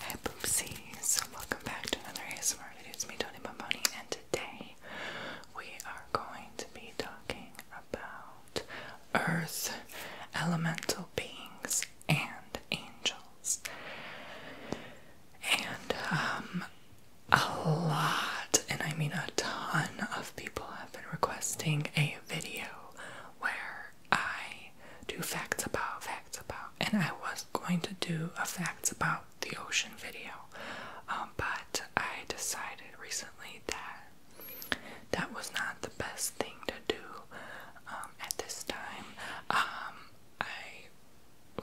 Hi boopsies, welcome back to another ASMR video. It's me, Tony Bomboni, and today we are going to be talking about Earth, elemental beings, and angels. And um, a lot, and I mean a ton of people have been requesting a video where I do facts about facts about, and I was going to do a facts about the ocean video, um, but I decided recently that that was not the best thing to do um, at this time. Um, I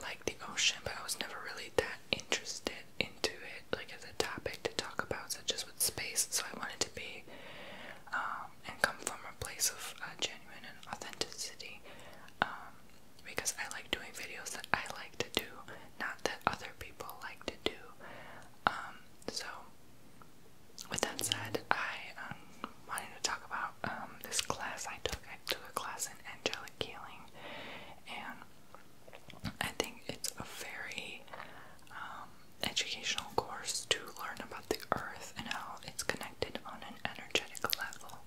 like the ocean, but I was never really that interested into it, like as a topic to talk about, such as with space. So I wanted to be. Um, and come from a place of uh, genuine and authenticity. Um, because I like doing videos that I like to do, not that other people like to do. Um, so, with that said, I wanted to talk about this class I took. I took a class in angelic healing, and I think it's a very educational course to learn about the earth and how it's connected on an energetic level.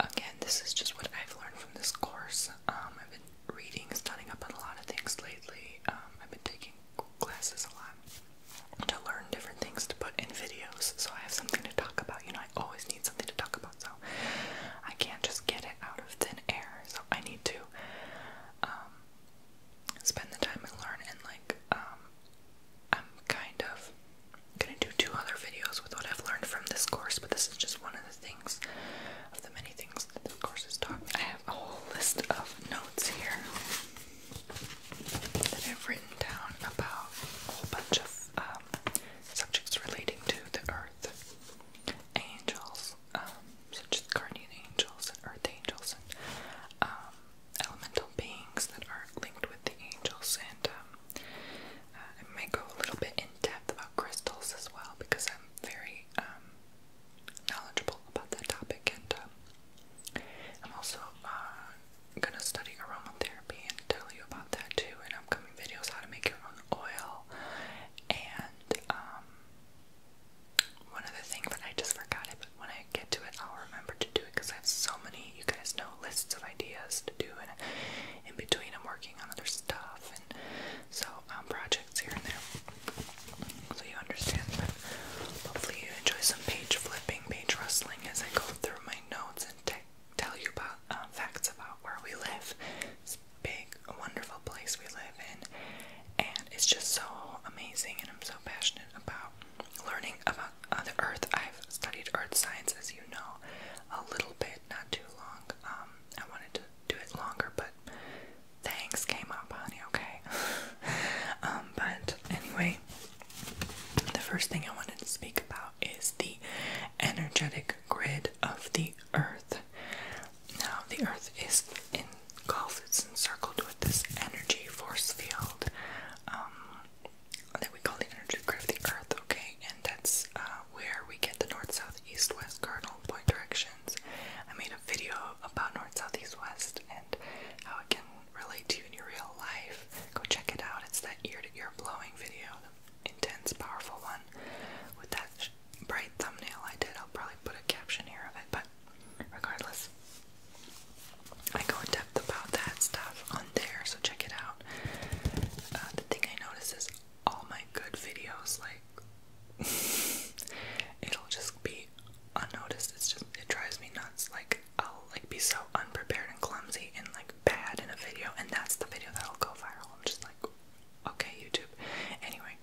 Again, this is just what I've learned from this course. Um, I've been reading, studying up on a lot of things lately. Um, I've been taking classes a lot to learn different things to put in videos, so I have something to talk about. You know, I always need something to talk about, so I can't just get it out of thin air. So I need to um, spend the time and learn and like I'm kind of gonna do two other videos with what I've learned from this course, but this is just one of the things of the many things that this course has taught me. I have a whole list of notes here that I've written down about a whole bunch of um, subjects relating to the earth, angels, um, such as guardian angels and earth angels, and um, elemental beings that are linked with the angels, and um, uh, I might go a little bit in depth about crystals as well because I'm very um, knowledgeable about that topic, and um, I'm also uh, gonna study aromatherapy and tell you about that too in upcoming videos how to make your own oil. And one other thing, but I just forgot when I get to it, I'll remember to do it because I have so many, you guys know, lists of ideas to do, and in between, I'm working on other stuff and so um, projects here and there. So you understand that. Hopefully, you enjoy some page flipping, page rustling as I go through my notes and tell you about uh, facts about where we live. It's a big, wonderful place we live in, and it's just so amazing. And I'm so passionate about learning about the earth. I've studied earth science, as you know, a little bit, not too long. Um, I wanted to do it longer, but things came up, honey, okay? um, but anyway, the first thing I wanted to speak about is the energetic grid of the earth. Now, the earth is engulfed, it's encircled with this energy force field. Um, that we call the energy grid of the Earth, okay? And that's uh, where we get the north, south, east, west cardinal point directions. I made a video about north, south, east, west and how it can relate to you in your real life. Go check it out. It's that ear to ear blowing video, intense, powerful one with that bright thumbnail I did. I'll probably put a caption here of it, but regardless, I go in depth about that stuff on there, so check it out. Uh, the thing I notice is all my good videos, like, it'll just be unnoticed. It's just, it drives me nuts. Like, I'll, like, be so unprepared and clumsy and, like, bad in a video, and that's the video that'll go viral. I'm just like, okay, YouTube. Anyway,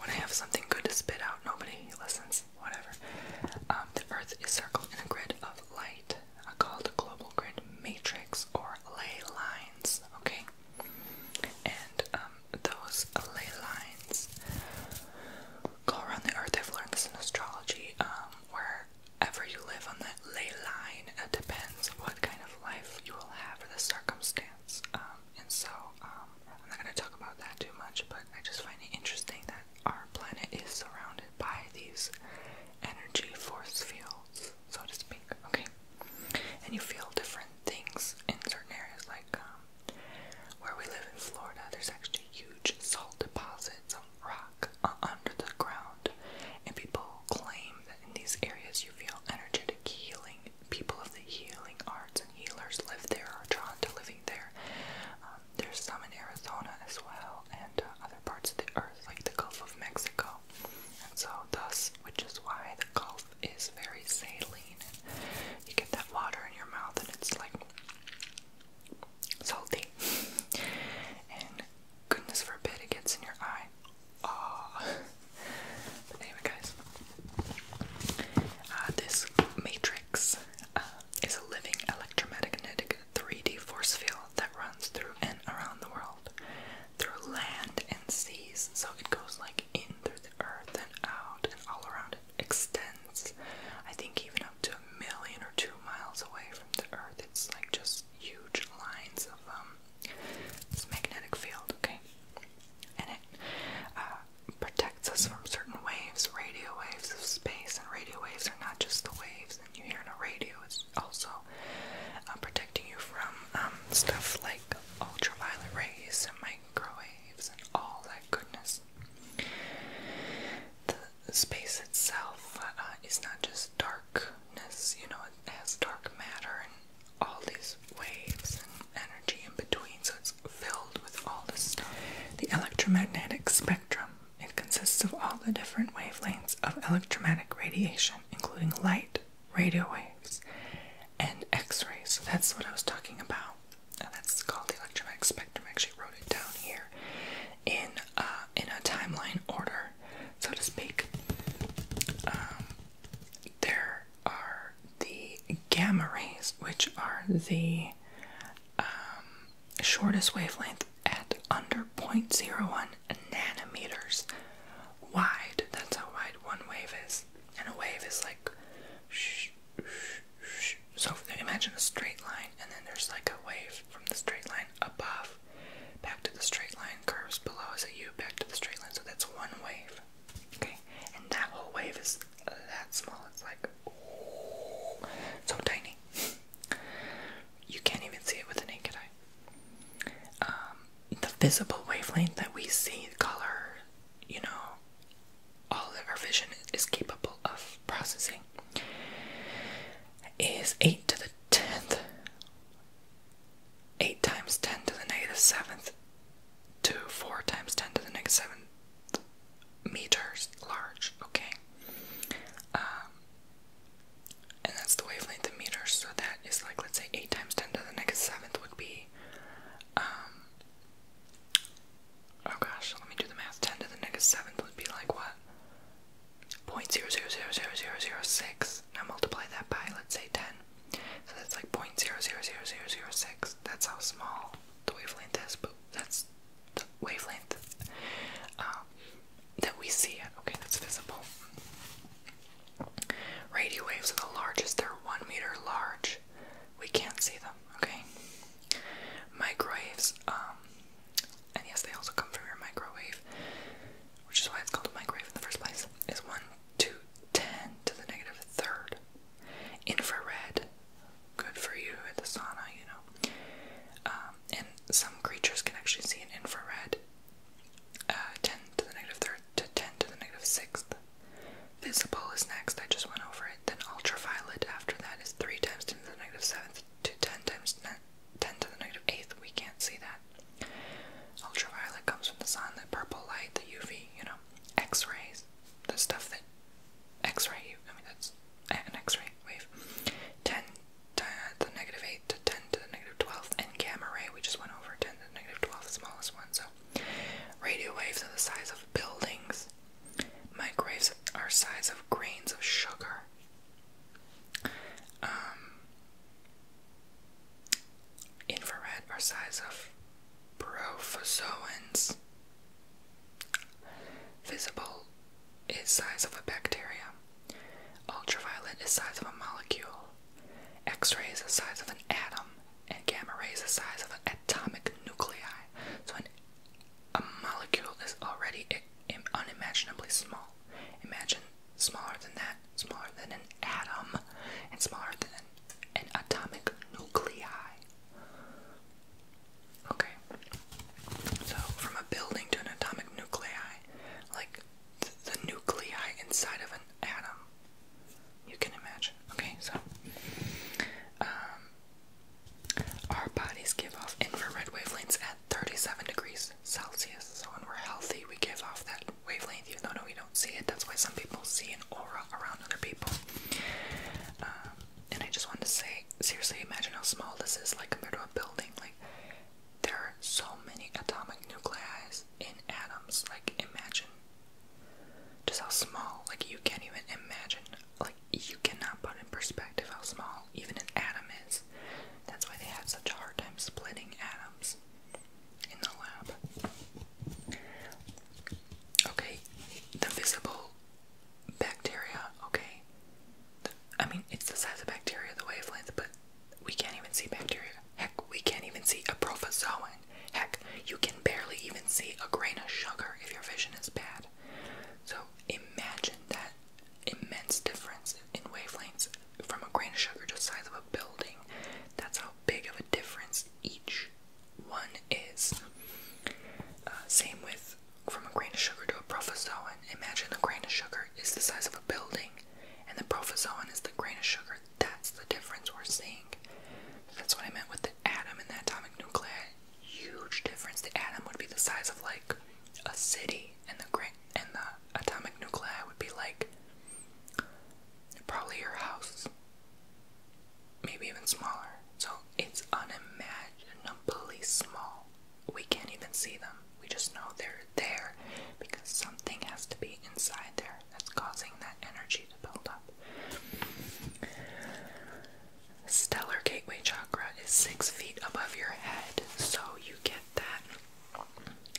when I have something good to spit out, nobody listens whatever. Um, the Earth is circled in a grid of light uh, called a global grid matrix or ley lines, okay? And um, those ley lines go around the Earth. I've learned this in astrology, um, wherever you live on that ley line, it depends what kind of life you will have for the circumstance. Um, and so, I'm not going to talk about that too much, but I just find it interesting that our planet is surrounded by these energy force fields, so to speak. Okay, and you feel different things in certain areas, like um, where we live in Florida. There's actually huge salt deposits of rock uh, under the ground, and people claim that in these areas you feel energetic healing. People of the healing arts and healers live there, are drawn to living there there's some in Arizona as well, and uh, other parts of the earth, like the Gulf of Mexico. And so, thus, which is why the Gulf is very saline. You get that water in your mouth, and it's like salty. And goodness forbid it gets in your eye. Oh. but anyway, guys, uh, this matrix uh, is a living electromagnetic 3D force field that runs through and around the world, through land and seas. So it goes like in through the earth and out and all around. It extends, I think, even up to a million or two miles away from the earth. It's like just huge lines of um, this magnetic field, okay? And it uh, protects us from certain waves, radio waves of space, and radio waves not just the waves that you hear on a radio, it's also uh, protecting you from um, stuff like ultraviolet rays and microwaves and all that goodness. The space itself uh, is not just darkness, you know, it has dark matter and all these waves and energy in between, so it's filled with all this stuff. The electromagnetic spectrum it consists of all the different wavelengths of electromagnetic radiation, including light, radio waves, and x rays. So that's what I was talking about. that's called the electromagnetic spectrum. actually wrote it down here in, uh, in a timeline order, so to speak. Um, there are the gamma rays, which are the um, shortest wavelength at under 0.01 nanometers wide. That's how wide one wave is. And a wave is like. so imagine a straight line, and then there's like a wave from the straight line above back to the straight line, curves below is a U back to the straight line. So that's one wave. Okay? And that whole wave is that small. It's like. so tiny. You can't even see it with the naked eye. Um, the visible wavelength that we see, color, you know, all that our vision is capable of processing is 8 to the 10th. 8 times 10 to the negative 7th seventh, 4 times 10 to the negative 7th meters large, okay? Um, and that's the wavelength in meters, so that is like, let's say, 8 times 10 to the next 7th would be, um, oh gosh, let me do the math, 10 to the 7th would be like what? 0.000006. Now multiply that by, let's say, 10. So that's like 0. 0.00006. That's how small the wavelength is, but that's wavelength um, that we see it. Okay, that's visible. Radio waves are the largest, they're one meter large. We can't see them, okay? Microwaves, um, and yes, they also come from your microwave, which is why it's called a microwave in the first place, is 1 two ten to the negative third. Infrared, good for you at the sauna, you know. Um, and some creatures can actually see in infrared uh, 10 to the negative third to 10 to the negative sixth. Visible is next, I just went over it. Then ultraviolet after that is 3 times 10 to the negative seventh to 10 times 10 to the negative eighth. We can't see that. Ultraviolet comes from the sun, the purple light, the UV, you know, X rays, the stuff that X ray you. I mean, that's X-ray wave, ten to the negative eight to ten to the negative twelfth, and gamma ray. We just went over ten to the negative twelfth, smallest one. So, radio waves are the size of buildings. Microwaves are size of grains of sugar. Um, infrared are size of Prophozoans. Visible is size of a bacterium. Ultraviolet is size of a molecule. X-ray is the size of an atom, and gamma ray is the size of an atomic nuclei. So a molecule is already unimaginably small. Imagine smaller than that, smaller than an atom, and smaller than an atomic nuclei. Okay. So, from a building to an atomic nuclei, like the nuclei inside of an atom, you can imagine. Okay, so um, our bodies give off infrared wavelengths at 37 degrees Celsius. So, when we're healthy, we give off that wavelength, even though no, we don't see it. That's why some people see an aura around other people. Um, and I just wanted to say, seriously, imagine how small this is, like compared to a building. Like, there are so many atomic nuclei in atoms. Like, imagine just how small. Like, you can't even imagine. Like, you cannot put in perspective how small even an atom is. That's why they have such a hard time splitting atoms in the lab. Okay, the visible bacteria, okay? I mean, it's the size of bacteria, the wavelength, but we can't even see bacteria. Heck, we can't even see a protozoan. Heck, you can barely even see a grain of sugar if your vision is bad. So imagine that immense difference in wavelengths from a grain of sugar to the size of a building. That's how big of a difference each one is. Uh, same with from a grain of sugar to a protozoan, imagine the grain of sugar is the size of a building, and the protozoan is the grain of sugar. That's the difference we're seeing. That's what I meant with the atom and the atomic nuclei. Huge difference. The atom would be the size of like a city, and the grain and the atomic nuclei would be like probably your house, maybe even smaller. So it's unimaginably small we can't even see them. We just know they're there because something has to be inside there that's causing that energy to build up. Stellar gateway chakra is six feet above your head, so you get that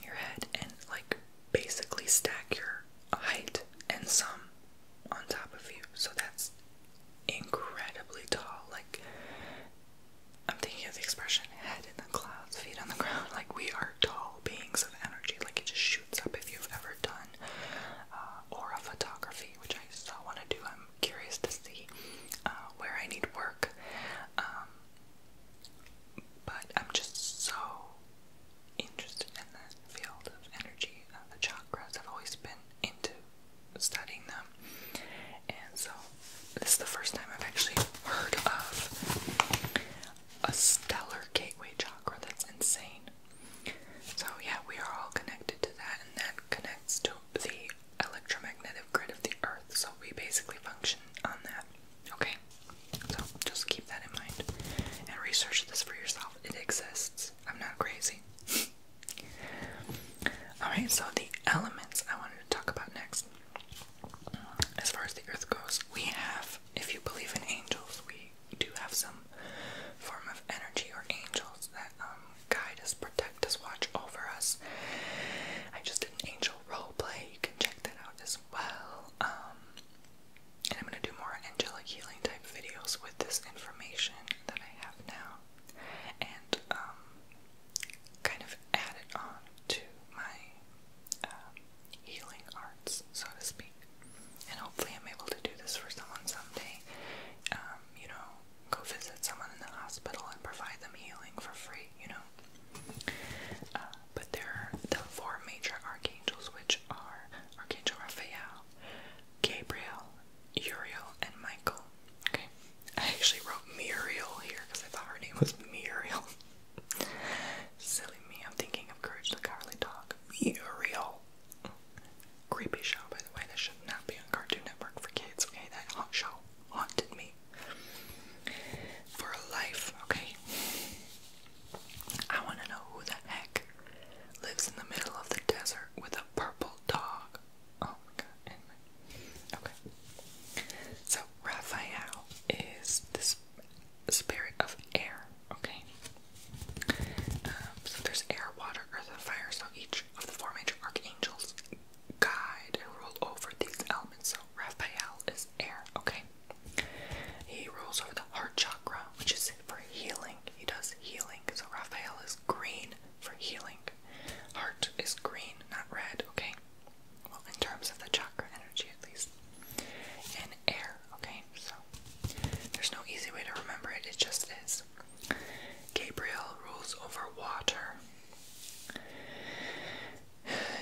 your head and like basically stack your height and some on top of you. So that's incredibly tall. Like, I'm thinking of the expression head in the clouds, feet on the ground. Like, we are tall beings of energy. Like, it just shoots up if you've ever done uh, aura photography, which I still want to do. I'm curious to see uh, where I need work. Um, but I'm just so interested in that field of energy. Uh, the chakras, I've always been into studying them. And so, this is the first time I've actually heard of a stellar gateway chakra. That's insane. So, yeah, we are all connected to that, and that connects to the electromagnetic grid of the earth. So, we basically function on that. Okay? So, just keep that in mind and research this for yourself. It exists. I'm not crazy. Alright, so the elements I wanted to talk about next. As far as the earth goes, we have, if you believe in angels, we do have some form of energy or angels that um, guide us, protect us, watch over us. I just did an angel role play, you can check that out as well. Um, and I'm going to do more angelic healing type videos with this information that I have now. And um, kind of added on to my um, healing arts, so to speak. And hopefully, I'm able to do this for someone someday. Um, you know, go visit someone in the hospital and provide them healing for free, you know. Uh, but there are the four major archangels, which are Archangel Raphael, Gabriel, Uriel, and Michael. Okay, I actually wrote Muriel here because I thought her name was Muriel. Silly me, I'm thinking of Courage the Cowardly Dog. Muriel. Creepy show, by the way. That should not be on Cartoon Network for kids. Okay, that haunt show haunted me for life. Okay, I want to know who the heck lives in the middle of the desert with a purple dog. Oh my god, Okay. So, Raphael is this spirit of air, okay? Um, so there's air, water, earth, and fire. So each of the four major archangels guide and rule over these elements. So Raphael is air, okay? He rules over the heart chakra, which is for healing. He does healing. So Raphael is green for healing. Heart is green, not red, okay? Well, in terms of the chakra energy, at least. And air, okay? So, there's no easy way to remember it, it just is. Gabriel rules over water.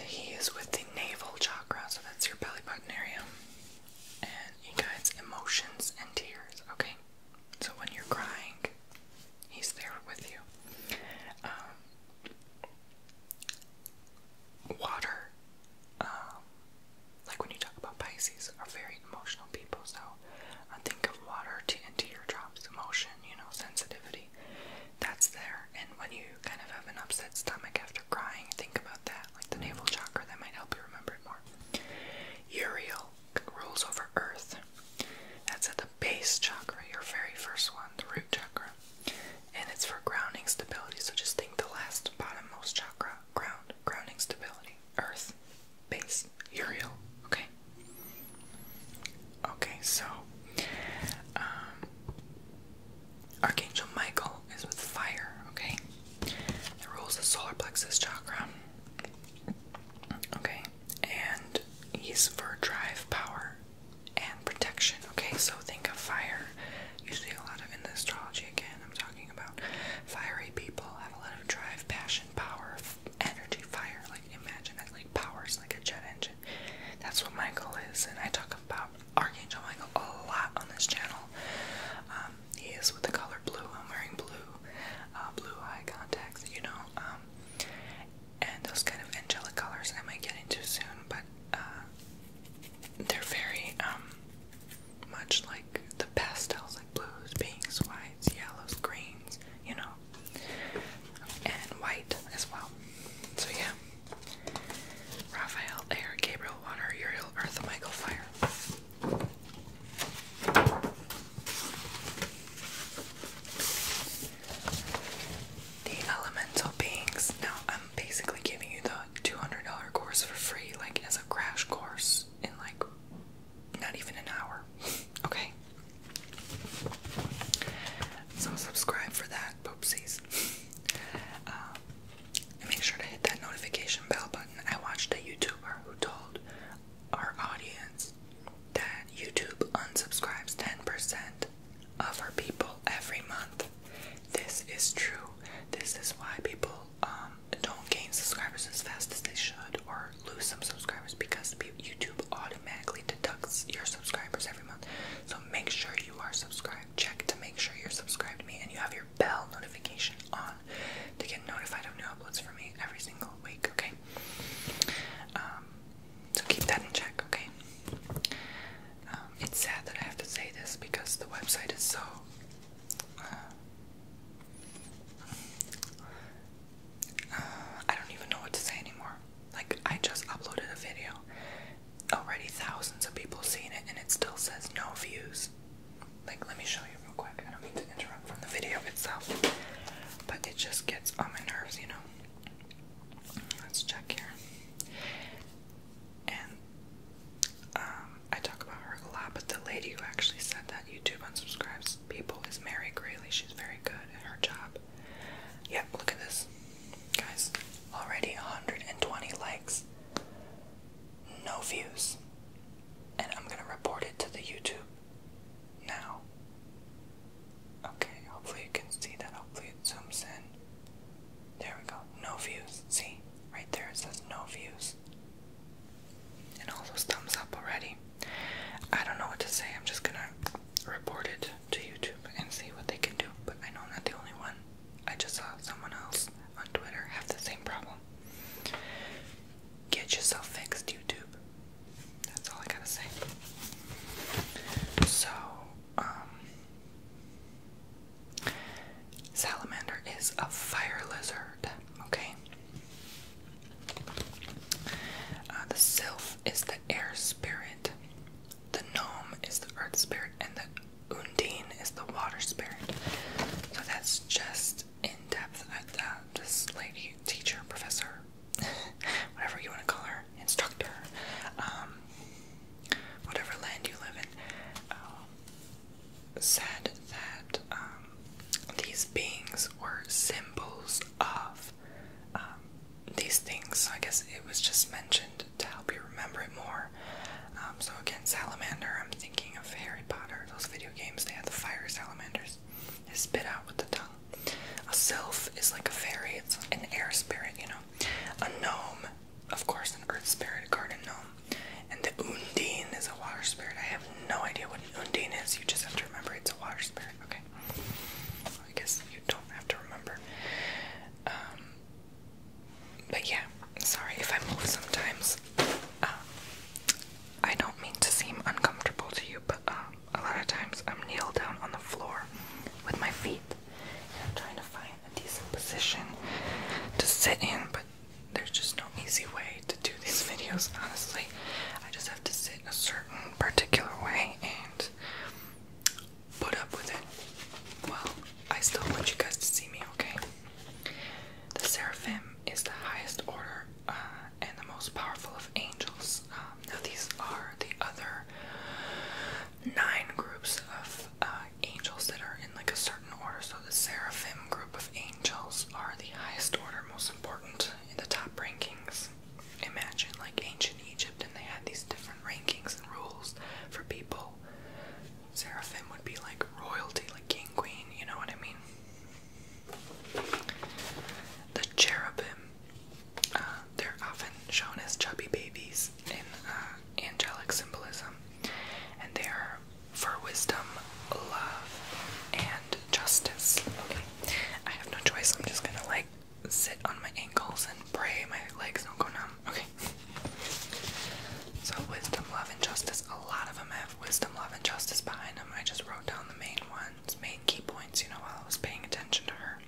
He is with the navel chakra, so that's your belly button area. And he guides emotions and tears, okay? So when you're crying, He's there with you. Um, water, um, like when you talk about Pisces, are very emotional people. So I think of water to and teardrops, emotion, you know, sensitivity. That's there. And when you kind of have an upset stomach after crying, think about that, like the navel chakra. That might help you remember it more. Uriel rules over earth. That's at the base chakra, your very first one, the root chakra. And it's for grounding stability. So just think the last bottommost chakra, ground, grounding stability, earth, base, Uriel. Okay. Okay, so um Archangel Michael is with fire, okay? It rules the solar plexus chakra. Okay, and he's for drive, power, and protection. Okay, so think of fire. Usually, a lot of in the astrology again, I'm talking about fiery people have a lot of drive, passion, power, energy, fire. Like, imagine that, like, power's like a jet engine. That's what Michael is, and I talk about Archangel Michael a lot on this channel. Um, he is with the color blue. I'm wearing blue, uh, blue eye contacts, you know. Um, and those kind of angelic colors I might get into soon, but uh, they're very um, much like the pastels, like blues, pinks, whites, yellows, greens, you know, and white as well. So yeah, Raphael, Air, Gabriel, Water, Uriel, Earth, Michael, Fire. The elemental beings. Now, I'm basically giving you the $200 course for free, like as a crash course in like not even an hour. Okay? So, subscribe for that, poopsies. Um, make sure to hit that notification bell button. I watched a YouTuber who told our audience that YouTube unsubscribes 10% of our people every month. This is true. This is why people um, don't gain subscribers as fast as they should or lose some subscribers because YouTube automatically deducts your subscribers every month. So make sure you are subscribed. Check to make sure you're subscribed to me and you have your bell notification on to get notified of new uploads from me every single week, okay? Um, so keep that in check, okay? Um, it's sad that I have to say this because the website is so. Uh, uh, I don't even know what to say anymore. Like, I just uploaded a video. Already thousands of people seen it, and it still says no views. Like, let me show you real quick. I don't mean to interrupt from the video itself, but it just gets on my nerves, you know? Let's check here. And um, I talk about her a lot, but the lady who actually said that YouTube unsubscribes people is Mary Grayley. She's very good at her job. Yep, look at this. Guys, already 120 likes, no views. And I'm gonna report it to the YouTube now. Okay, hopefully you can see that. Hopefully it zooms in. There we go. No views. See? Right there it says no views. And all those thumbs up already. I don't know what to say. I'm just gonna report it to YouTube and see what they can do. But I know I'm not the only one. I just saw someone else on Twitter have the same problem. Get yourself fixed, YouTube. That's all I gotta say. So, um, salamander is a fire lizard, okay? Uh, the sylph is the air spirit, the gnome is the earth spirit, and the undine is the water spirit. So that's just in depth at uh, this lady, teacher, professor whatever you want to call her, instructor, um, whatever land you live in, uh, said that um, these beings were symbols of um, these things. So I guess it was just mentioned to help you remember it more. so again, salamander. I'm thinking of Harry Potter. Those video games they had the fire salamanders. spit out with the tongue. A sylph is like a fairy, it's an air spirit, you know. A gnome, of course, an earth spirit, a garden gnome. And the Undine is a water spirit. I have no idea what Undine is, you just have to remember it's a water spirit, okay? I guess you don't have to remember. Um, but yeah, sorry if I move sometimes. Uh, I don't mean to seem uncomfortable to you, but um, a lot of times I'm kneeled down on the floor with my feet. And I'm trying to find a decent position to sit in, but there's just no easy way to do these videos, honestly. I just have to sit in a certain particular way and put up with it. Well, I still want you guys to see me, okay? The seraphim is the highest order uh, and the most powerful of angels. Uh, now these are the other nine groups of uh, angels that are in like a certain order. So the seraphim group of angels are the highest order, most important in the top rankings. Imagine like ancient Egypt, and they had these different rankings and rules for people. Seraphim would be like royalty, like king, queen, you know what I mean? The cherubim uh, they're often shown as chubby babies in uh, angelic symbolism, and they are for wisdom, love, and justice. Okay, I have no choice. I'm just gonna like sit on my ankles and pray my legs don't go numb. Okay. So wisdom, love, and justice. A lot of them have wisdom, love, and justice behind them. I just wrote down the main ones points, key points, you know, while I was paying attention to her.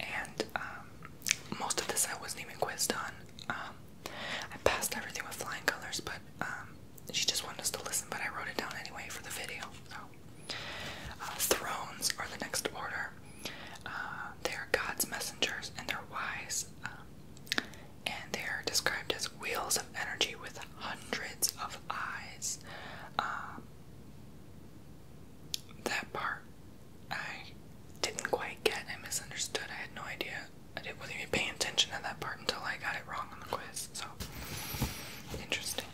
And um, most of this I wasn't even quizzed on. Um, I passed everything with flying colors, but um, she just wanted us to listen, but I wrote it down anyway for the video. Uh, thrones are the next order. Uh, they are God's messengers and they're wise, and they are described as wheels of energy with hundreds of eyes that part I didn't quite get. I misunderstood. I had no idea. I didn't, wasn't even paying attention to that part until I got it wrong on the quiz. So interesting.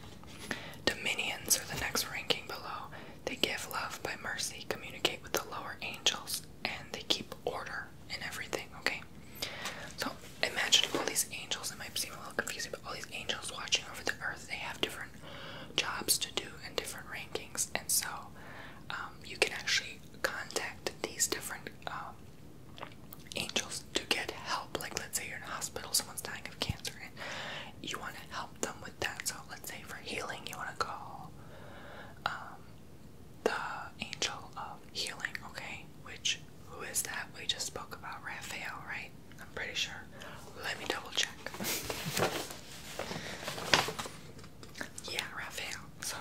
Dominions are the next ranking below. They give love by mercy, communicate with the lower angels, and they keep order in everything. Okay. So imagine all these angels. It might seem a little confusing, but all these angels watching over the earth. They have different jobs to do and different rankings, and so um, you can actually contact these different um, angels to get help. Like, let's say you're in a hospital, someone's dying of cancer, and you want to help them with that. So, let's say for healing, you want to call um, the angel of healing, okay? Which, who is that? We just spoke about Raphael, right? I'm pretty sure. Let me double check. yeah, Raphael. So,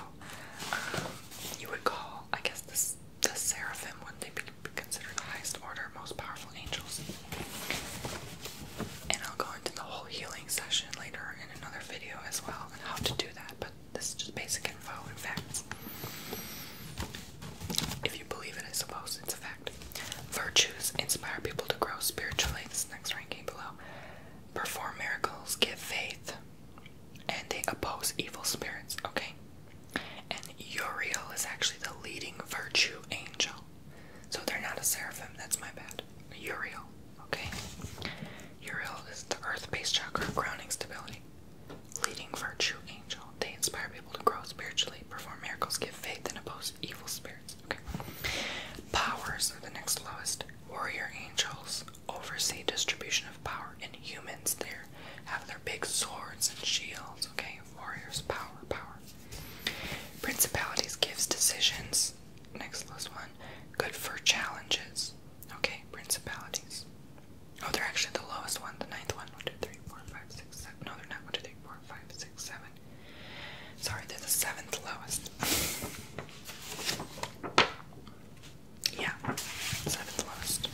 um, you would call, I guess, this the seraphim would they be considered the highest order, most powerful angels? And I'll go into the whole healing session later in another video as well and how to do that. But this is just basic info in fact. If you believe it, I suppose it's a fact. Virtues inspire people to grow spiritually. This next ranking below. Perform miracles, give faith, and they oppose evil spirits. Okay. And Uriel is actually the leading virtue angel. So they're not a seraphim, that's my bad. Uriel, okay? Uriel is the earth based chakra, grounding stability, leading virtue they inspire people to grow spiritually, perform miracles, give faith, and oppose evil spirits. Okay. Powers are the next lowest. Warrior angels oversee distribution of power in humans. They have their big swords and shields. Okay, warriors, power, power. Principalities gives decisions. Next lowest one. Good for challenges. Okay, principalities. Oh, they're actually the lowest one, the ninth one. 1, No, they're not 1, 2, 3, 4, four, five, six, seven. Sorry, they're the seventh lowest. yeah, seventh lowest.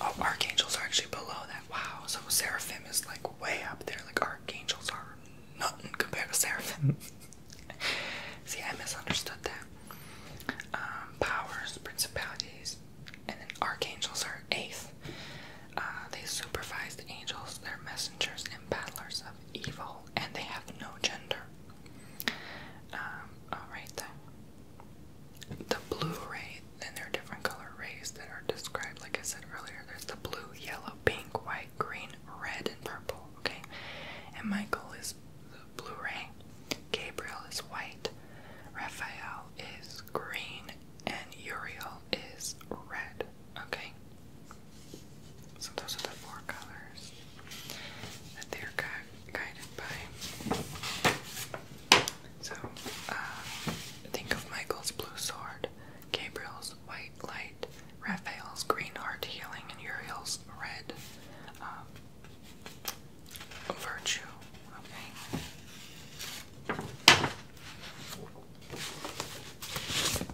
Oh, archangels are actually below that. Wow, so seraphim is like way up there. Like archangels are nothing compared to seraphim. See, I misunderstood that. Um, powers, principalities, and then archangels are eighth. Uh, they supervise the angels, they're messengers and battlers of evil, and they have no gender. Um, Alright The blue ray, then there are different color rays that are described, like I said earlier. There's the blue, yellow, pink, white, green, red, and purple. Okay? And Michael is the blue ray, Gabriel is white, Raphael is green, and Uriel is red. Okay? So those are the four colors that they're guided by. So, uh, think of Michael's blue sword, Gabriel's white light, Raphael's green heart healing, and Uriel's red um, virtue.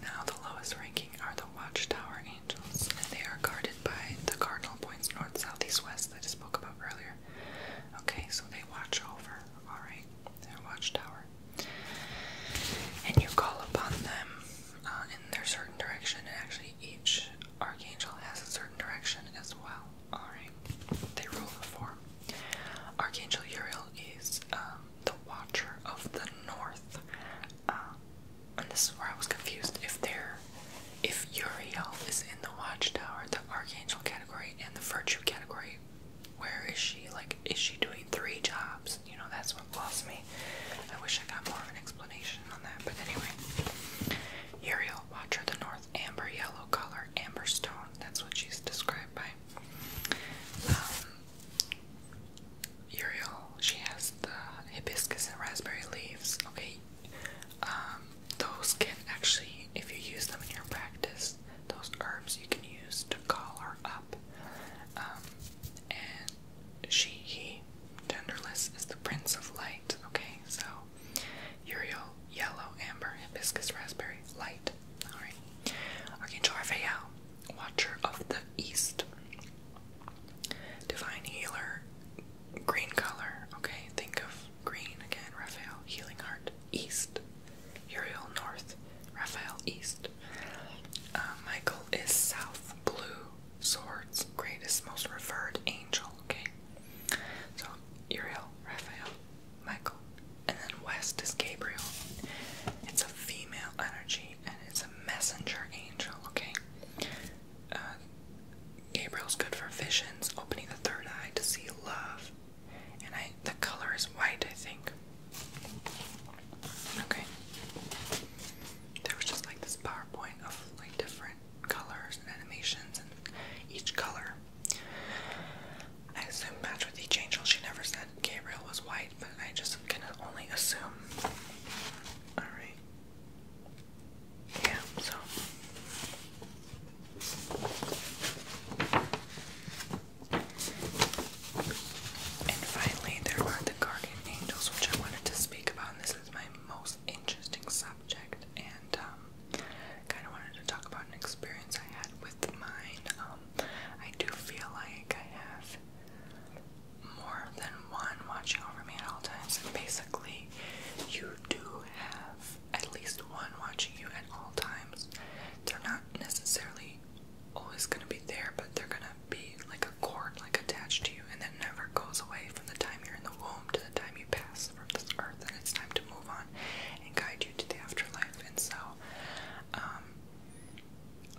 Now, the lowest ranking are the Watchtower Angels, and they are guarded by the cardinal points north, south, east, west that I spoke about earlier. Okay, so they watch over, alright? their Watchtower. And you call upon them uh, in their certain direction, and actually each archangel has a certain direction as well. Alright, they rule the four. Archangel Uriel is um, the Watcher of the North. Uh, and this is where I was confused if they If Uriel is in the Watchtower, the Archangel category, and the Virtue category, where is she? Like, is she doing three jobs? You know, that's what lost me. I wish I got more of an explanation on that, but anyway. Uriel, Watcher of the North, Amber Yellow Color, Amber Stone. That's what she's described by um, Uriel, she has the hibiscus and raspberry leaves. Okay, um, those can actually, if you use them in your practice, those herbs you can use to call her up. Um, and she, he, genderless, is the prince of light. Okay, so Uriel Yellow, Amber, Hibiscus, Raspberry, Light. Alright. Archangel Raphael, Watcher of the East. Divine Healer, green color. Okay, think of green again. Raphael, Healing Heart, East. Uriel, North. Raphael, East. Uh, Michael is South. Blue, Swords, Greatest, Most Revered Angel. Okay. So, Uriel, Raphael, Michael. And then West is Gabriel. It's a female energy and it's a messenger angel, okay? Uh, Gabriel's good for visions, opening the third eye to see love. And I the color is white, I think. Okay. There was just like this PowerPoint of like different colors and animations and each color I assume match with each angel. She never said Gabriel was white, but I just can only assume. Alright. Yeah, so. And finally, there are the guardian angels, which I wanted to speak about. And this is my most interesting subject, and um, kind of wanted to talk about an experience I had with mine. Um, um, I do feel like I have more than one watching over me at all times, and basically, you do have at least one watching you at all times. They're not necessarily always going to be there, but they're going to be like a cord, like attached to you, and that never goes away from the time you're in the womb to the time you pass from this earth, and it's time to move on and guide you you to the afterlife, and so um,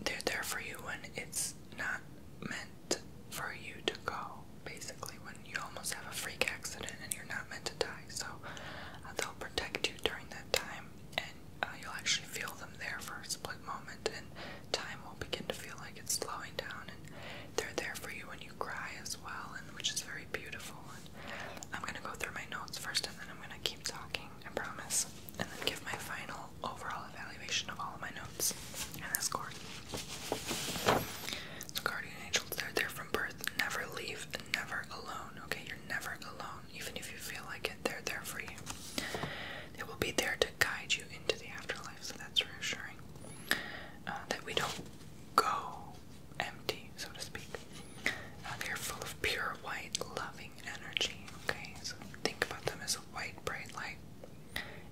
they're there for you when it's not meant for you to go. Basically, when you almost have a freak accident and you're not meant to die, so uh, they'll protect you during that time, and uh, you'll actually feel them there for a split moment, and time will begin to feel like it's slowing down. And they're there for you when you cry as well, and which is very beautiful. I'm gonna go through my notes first and then I'm gonna keep talking, I promise, and then give my final overall evaluation of all of my notes and the score. So, guardian angels, they're there from birth. Never leave, never alone, okay? You're never alone, even if you feel like it, they're there for you. They will be there to guide you into the afterlife, so that's reassuring. Uh, that we don't go empty, so to speak. Uh, they are full of pure white, loving energy. Okay, so think about them as a white, bright light.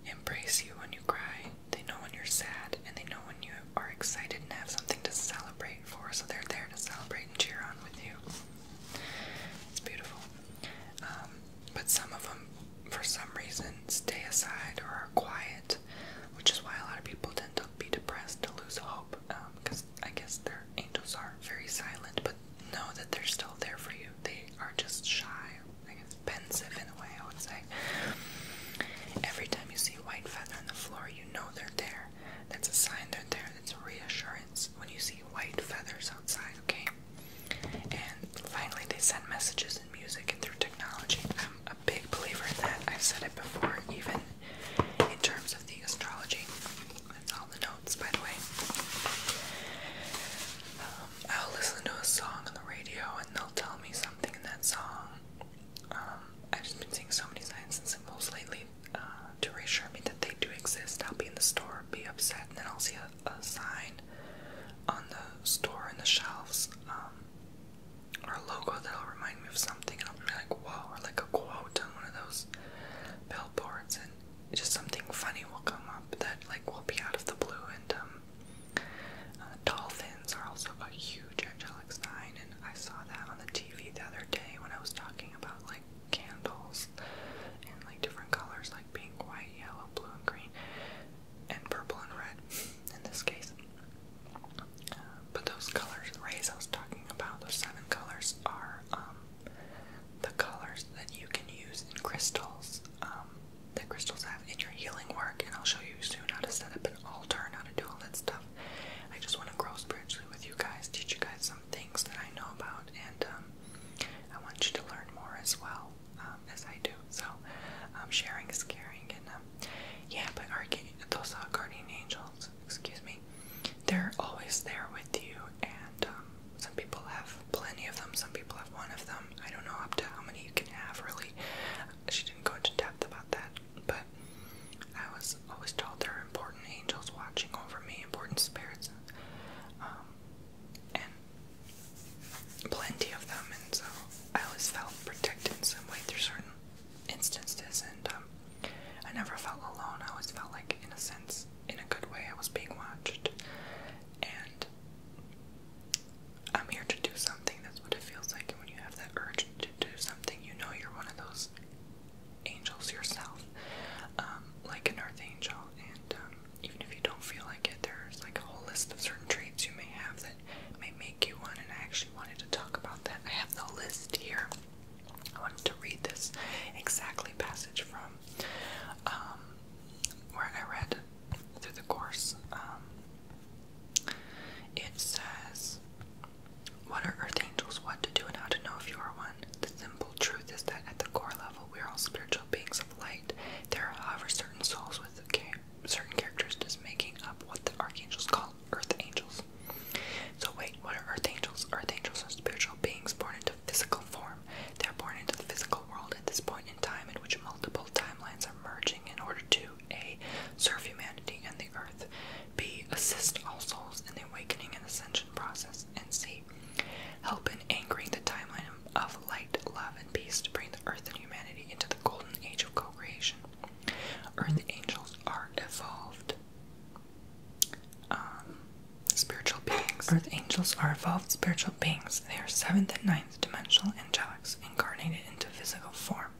Embrace you when you cry. They know when you're sad, and they know when you are excited and have something to celebrate for. So they're there to celebrate and cheer on with you. It's beautiful. Um, but some of them, for some reason, stay aside or are quiet, which is why a lot of people tend to be depressed, to lose hope because um, I guess their angels are very silent, but know that they're still there for you. They are just shy, I guess pensive in a way, I would say. Every time you see a white feather on the floor, you know they're there. That's a sign they're there. That's reassurance when you see white feathers outside, okay? And finally, they send messages in music and through technology. I'm a big believer in that. I've said it before, even in terms of the astrology. That's all the notes, by the way. Um, I'll listen to a song on the radio and they'll tell me something in that song. Um, I've just been seeing so many signs and symbols lately uh, to reassure me that they do exist. I'll be in the store, be upset, and then I'll see a, sign on the store and the shelves um, or a logo that'll remind me of something, and I'll be like, whoa, or like a quote on one of those billboards, and just something funny will come up that like will be out of the blue. And um, uh, dolphins are also a huge angelic sign, and I saw that on the TV the other day when I was talking about like candles and like different colors like pink, white, yellow, blue, and green, and purple and red in this case. But those colors, the rays I was talking about, those seven colors are um, the colors that you can use in crystals um, that crystals have in your healing work. And I'll show you soon how to set up an altar how to do all that stuff. I just want to grow spiritually with you guys, teach you guys some things that I know about, and um, I want you to learn more as well um, as I do. So, sharing is caring, and yeah, but our, those uh, guardian angels excuse me, they're always there with you, and um, some people have plenty of them, some people have one of them. I don't know up to how many you can have, really. She didn't go into depth about that, but I was always told there are important angels watching over me, important spirits, um, and plenty of them, and so I always felt protected in some way through certain instances, and um, I never felt alone. I always felt like, in a sense, in a good way, I was being watched. And I'm here to do something. That's what it feels like. when you have that urge to do something, you know you're one of those angels yourself, um, like an earth And um, even if you don't feel like it, there's like a whole list of certain traits you may have that may make you one. And I actually wanted to talk about that. I have the list here. I wanted to read this exactly passage from um, where I read through the course. Um, it says, What are earth angels? What to do and how to know if you are one? The simple truth is that at the core level, we are all spiritual beings of light. There are, however, certain souls with certain characters, characteristics making up what the archangels call earth angels. So wait, what are earth angels? Earth angels are spiritual beings born into physical form. They are born into the physical world at this point in time in which multiple timelines are merging in order to A. Serve humanity and the earth. B. Assist all souls in the awakening and ascension process. And C. Help in anchoring the timeline of light, love, and peace to bring the earth and humanity into the golden age of co creation. Earth angels are evolved. Um, spiritual beings. Earth angels are evolved spiritual beings. They are seventh and ninth dimensional angelics incarnated into physical form.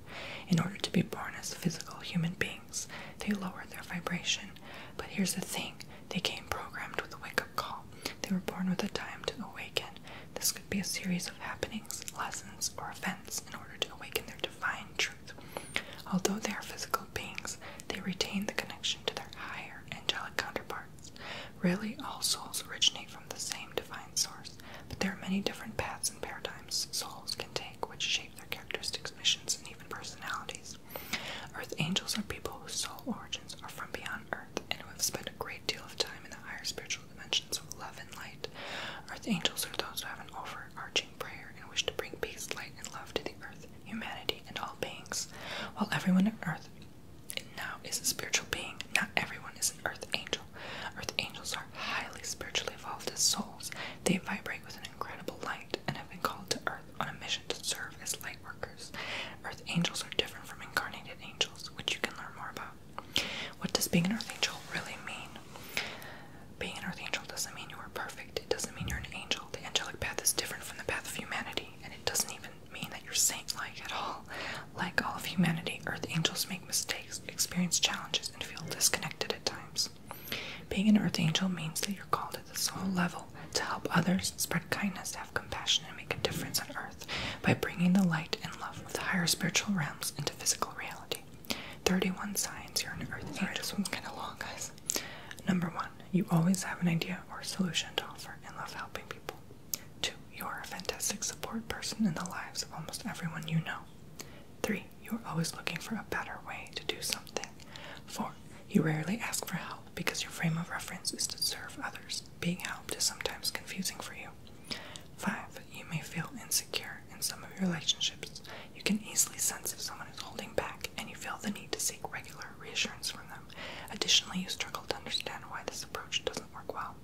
In order to be born as physical human beings, they lower their vibration. But here's the thing they came programmed with a wake up call. They were born with a time to awaken. This could be a series of happenings, lessons, or events in order to awaken their divine truth. Although they are physical beings, they retain the connection to their higher angelic counterparts. Rarely all souls originate from the same divine source, but there are many different paths and paradigms souls can take which shape their characteristics, missions, and even personalities. Earth angels are people whose soul origins are from beyond Earth and who have spent a great deal of time in the higher spiritual dimensions of love and light. Earth angels are those who have an offer overarching prayer in which to bring peace, light, and love to the earth, humanity, and all beings. While everyone on earth now is a spiritual being, not everyone is an earth angel. Earth angels are highly spiritually evolved souls. They vibrate with an incredible light and have been called to earth on a mission to serve as light workers. Earth angels are different from incarnated angels, which you can learn more about. What does being an earth angel really mean? Being an Earth Angel doesn't mean you are perfect. It doesn't mean you're an angel. The angelic path is different from the path of humanity, and it doesn't even mean that you're saint like at all. Like all of humanity, earth angels make mistakes, experience challenges, and feel disconnected at times. Being an earth angel means that you're called at the soul level to help others, spread kindness, have compassion, and make a difference on earth by bringing the light and love with higher spiritual realms into physical reality. 31 signs you're an earth angel. Sorry, this one's kind of long, guys. Number one, you always have an idea or solution to offer and love helping people. Two, you are a fantastic support person in the lives of almost everyone you know. Three, you are always looking for a better way to do something. Four, you rarely ask for help because your frame of reference is to serve others. Being helped is sometimes confusing for you. Five, you may feel insecure in some of your relationships. You can easily sense if someone is holding back, and you feel the need to seek regular reassurance from them. Additionally, you struggle to understand why this approach doesn't work well.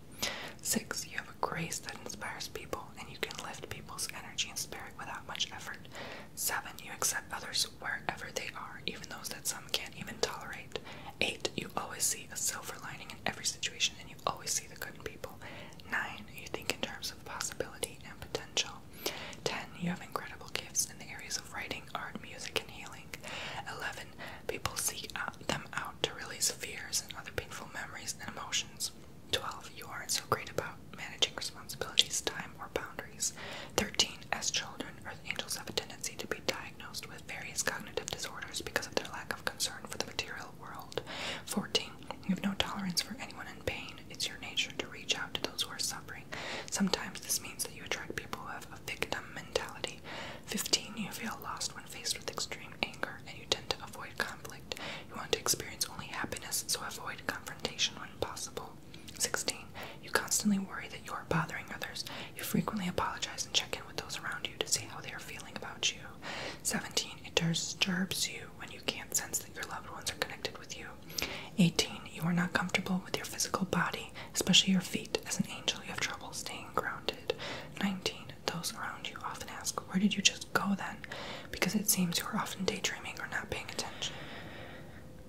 Six, you have a grace that inspires people, and you can lift people's energy and spirit without much effort. Seven, you accept others wherever they are, even those that some can't even tolerate. Eight, you always see a silver lining in every situation, and you always see the good in people. Nine, you think in terms of possibility and potential. 10. You have incredible gifts in the areas of writing, art, music, and healing. 11. People seek out them out to release fears and other painful memories and emotions. 12. You aren't so great about managing responsibilities, time, or boundaries. 13. As children, earth angels have a tendency to be diagnosed with various cognitive disorders because of their lack of concern for the material world. 14. You have no tolerance for anyone in pain. It's your nature to reach out to those who are suffering. Sometimes this means that you attract people who have a victim mentality. 15. You feel lost when faced with extreme anger and you tend to avoid conflict. You want to experience only happiness, so avoid confrontation when possible. 16. You constantly worry that you are bothering others. You frequently apologize and check in with those around you to see how they are feeling about you. 17. It disturbs you when you can't sense that your loved ones are connected with you 18. You are not comfortable with your physical body, especially your feet. As an angel, you have trouble staying grounded. 19. Those around you often ask, Where did you just go then? Because it seems you are often daydreaming or not paying attention.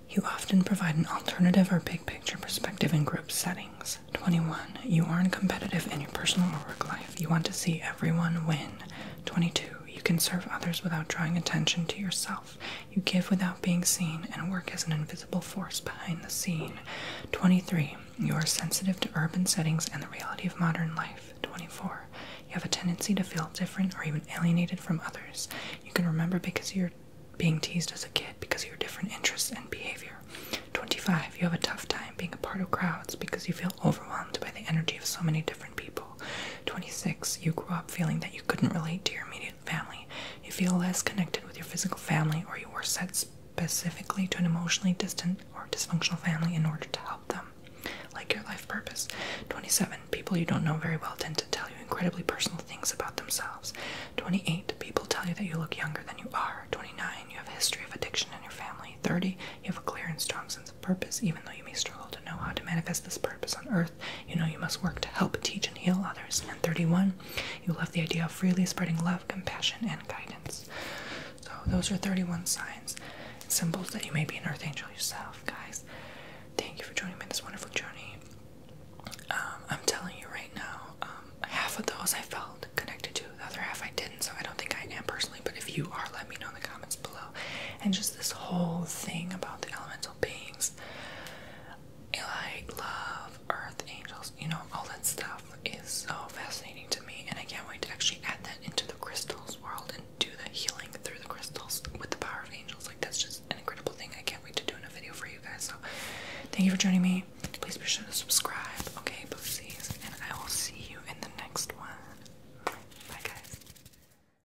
You often provide an alternative or big picture perspective in group settings. 21. You aren't competitive in your personal or work life. You want to see everyone win. 22. You can serve others without drawing attention to yourself. You give without being seen and work as an invisible force behind the scene. 23. You are sensitive to urban settings and the reality of modern life. 24. You have a tendency to feel different or even alienated from others. You can remember because you're being teased as a kid because of your different interests and behavior. 25. You have a tough time being a part of crowds because you feel overwhelmed by the energy of so many different people. 26. You grew up feeling that you couldn't relate to your immediate family. You feel less connected with your physical family, or you were set specifically to an emotionally distant or dysfunctional family in order to help them. Like your life purpose. 27. People you don't know very well tend to tell you incredibly personal things about themselves. 28. People tell you that you look younger than you are. 29. You have a history of addiction in your family. 30. You have a clear and strong sense purpose, even though you may struggle to know how to manifest this purpose on earth. You know you must work to help teach and heal others. And 31, you love the idea of freely spreading love, compassion, and guidance. So those are 31 signs symbols that you may be an earth angel yourself, guys. Thank you for joining me in this wonderful journey. Um, I'm telling you right now, um, half of those I felt connected to, the other half I didn't, so I don't think I am personally, but if you are, let me know in the comments below. And just this whole thing about the elemental celestial beings, like love, earth, angels, you know, all that stuff is so fascinating to me, and I can't wait to actually add that into the crystals world and do the healing through the crystals with the power of angels. Like, that's just an incredible thing. I can't wait to do in a video for you guys. So, thank you for joining me. Please be sure to subscribe, okay, Boopsies, and I will see you in the next one. Bye, guys.